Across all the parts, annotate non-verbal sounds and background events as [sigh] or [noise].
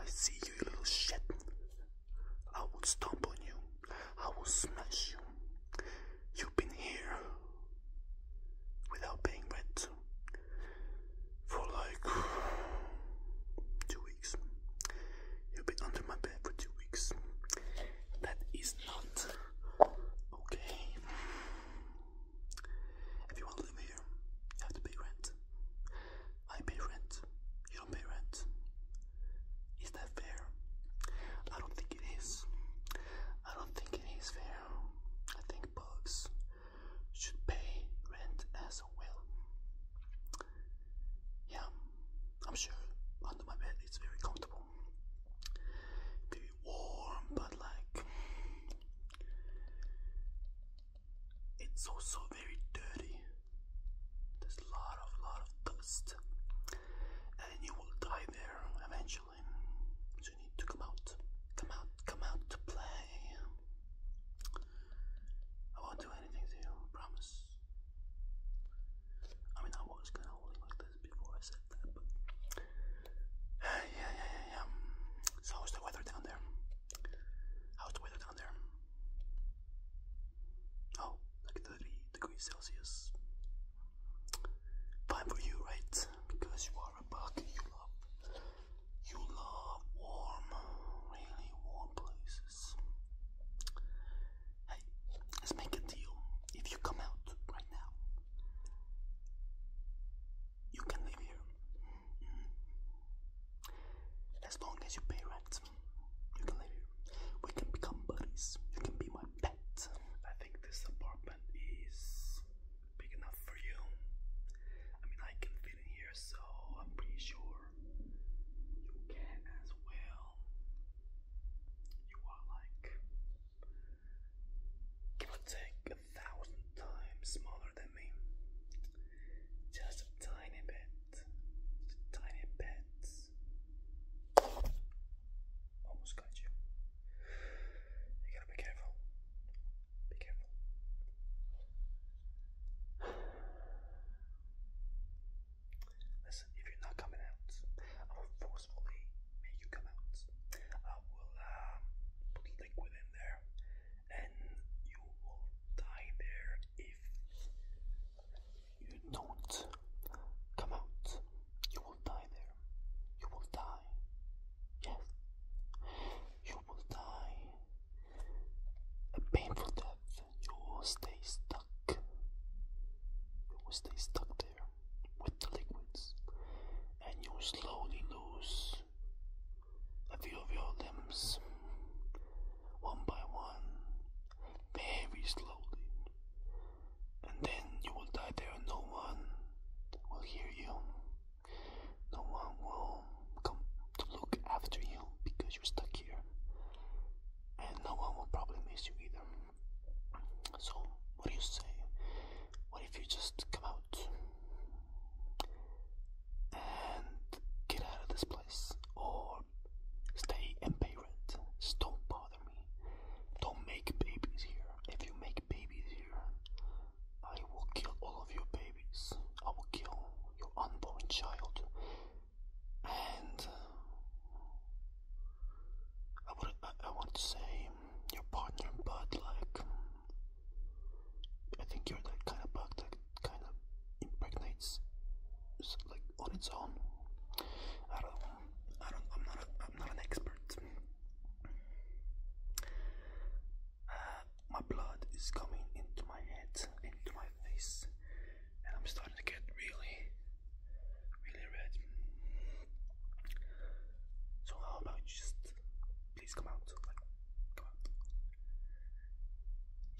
I see you, little shit. I will stomp on you. I will smash you. You've been here without paying rent for like two weeks. You've been under my bed for two weeks. That is not okay. If you want to live here, you have to pay rent. I pay rent. You don't pay rent. Is that fair? I don't think it is. I don't think it is fair. I think bugs should pay rent as well. Yeah, I'm sure under my bed it's very comfortable. Very warm, but like it's also very dirty. There's a lot of lot of dust, and you will die there eventually. So you need to come out, come out, come out to play. I won't do anything to you, promise. I mean, I was gonna hold like this, I said [sighs] yeah, yeah, yeah, yeah. how's the weather down there? How's the weather down there? Oh, like 30 degrees Celsius. Fine for you, right? Because you are a bug. You love, you love warm, really warm places. Hey, let's make a deal. If you come out, now. You can live here. Mm-hmm. As long as you pay rent, you can live here. We can become buddies. You can be my pet. I think this apartment is big enough for you. I mean, I can fit in here, so I'm pretty sure you can as well. You are like give take a thousand times smaller than me. Just a tiny bit, just a tiny bit. Almost got you. You gotta be careful. Be careful. [sighs] Listen, if you're not coming out, I will forcefully may you come out. I will put liquid in there, and you will die there if you don't come out. You will die there. You will die. Yes. You will die. A painful death. You will stay stuck. You will stay stuck there with the liquids, and you slowly lose a few of your limbs one by one, very slowly, and then you will die there, and no one will hear you, no one will come to look after you because you're stuck here, and no one will probably miss you either. So, what do you say? What if you just come out and get out of this place? Or stay and pay rent? don't bother me. Don't make babies here. If you make babies here, I will kill all of your babies. I will kill your unborn child. And uh, I would I, want to say um, your partner, but like um, I think you're that kind of bug that kind of impregnates like on its own. I don't I don't I'm not a, I'm not an expert. Uh, my blood is coming into my head, into my face, and I'm starting to get really really red. So how about just please come out? come out.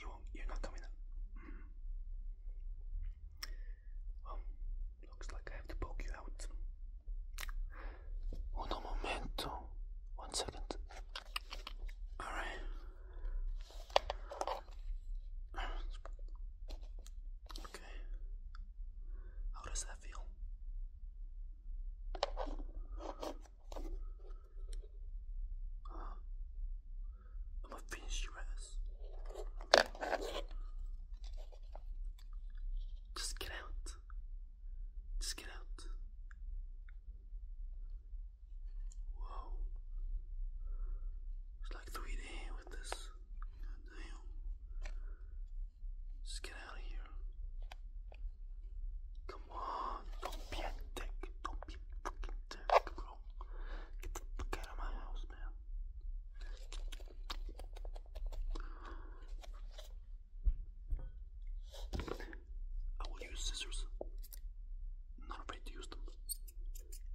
You won't you're not coming out. Mm. Well, looks like I have to poke you out. Uno momento. One second. Alright. Okay. How does that feel? Um, I'm gonna finish your ass. Just get out. Just get out. Whoa. It's like 3D with this. Damn. Just get out of here. Come on. Don't be a dick. Don't be a fucking dick, bro. Get the fuck out of my house, man. I will use scissors. I'm not afraid to use them.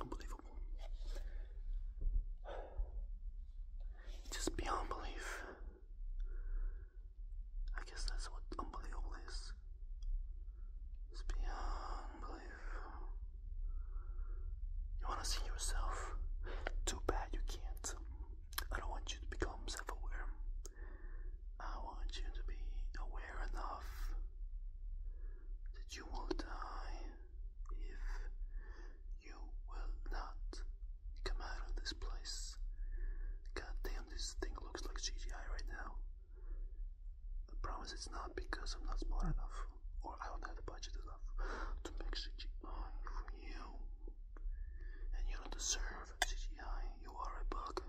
Unbelievable. Just beyond belief. I guess that's what unbelievable is. It's beyond belief. You want to see yourself? Too bad you can't. I don't want you to become self aware. I want you to be aware enough that you will die if you will not come out of this place. God damn, this thing looks like CGI right now. I promise it's not because I'm not smart enough, or I don't have the budget enough to make CGI for you. And you don't deserve CGI, you are a bug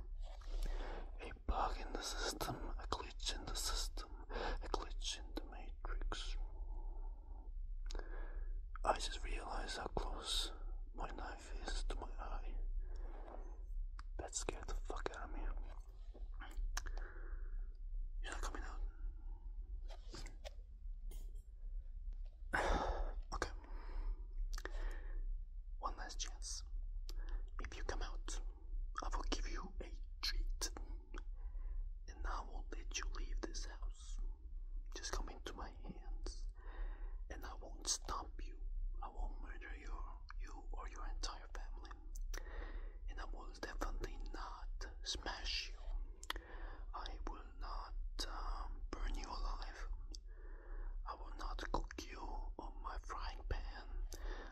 a bug in the system, a glitch in the system, a glitch in the matrix. I just realized how close my knife is to my eye. That scared the fuck out of me. You're not coming out. [sighs] okay. One last chance. If you come out, I will give you a treat. And I won't let you leave this house. Just come into my hands. And I won't stop you. I won't murder you, you or your entire family. And I will definitely not smash you. I will not um, burn you alive. I will not cook you on my frying pan.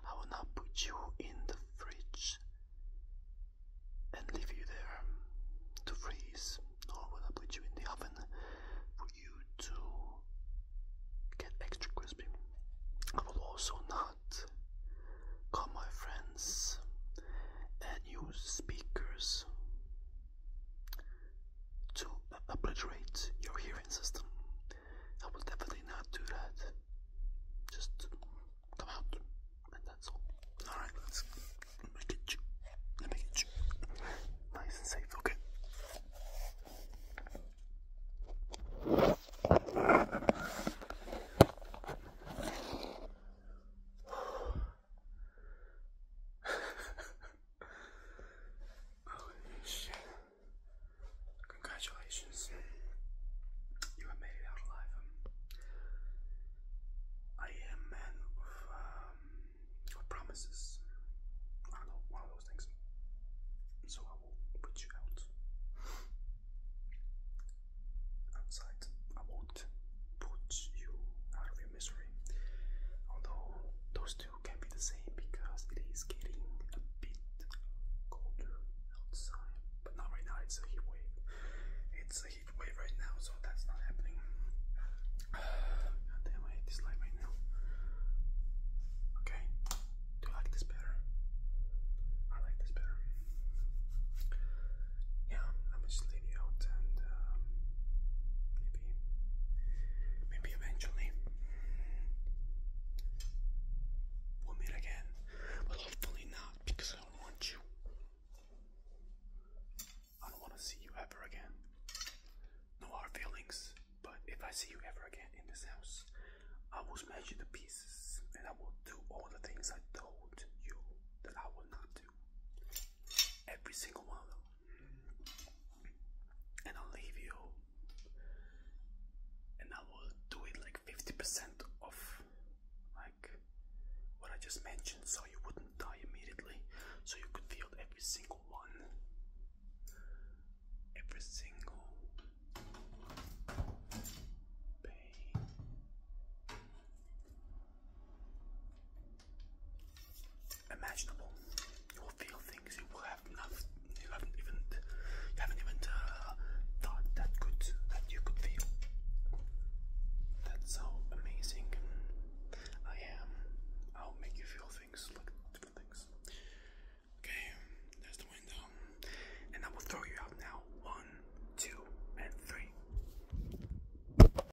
I will not put you in the fridge and leave you there to freeze. Nor will I put you in the oven for you to get extra crispy. I will also not call my friends and use speakers to obliterate your hearing system. I will definitely not do that. Just come out, and that's all. All right, let's let me you. Let me get you nice and safe. Okay. [sighs] [sighs] Oh shit. Congratulations. You have made it out alive. Um, I am a man of, um, promises. I know, one of those things. So I will put you out. Outside. I won't put you out of your misery. Although those two can be the same because it is getting a bit colder outside. But not right now, it's a heat wave. It's a heat wave right now, so that's not happening. [sighs] God damn, I hate this light right now. Okay, do you like this better? I like this better. Yeah, I'm just leave you out and um, maybe. eventually we'll meet again. But hopefully not, because I don't want you. I don't want to see you ever again. No hard feelings, but if I see you ever again in this house, I will smash you to pieces and I will do all the things I told you that I will not do. Every single one of them and I'll leave you and I will do it like 50% of like what I just mentioned so you wouldn't die immediately so you could feel every single one every single pain imaginable. You will feel things you will have not, you haven't even, you haven't even uh, thought that could that you could feel. That's how amazing I am. I'll make you feel things like different things. Okay, there's the window, and I will throw you out now. One, two, and three.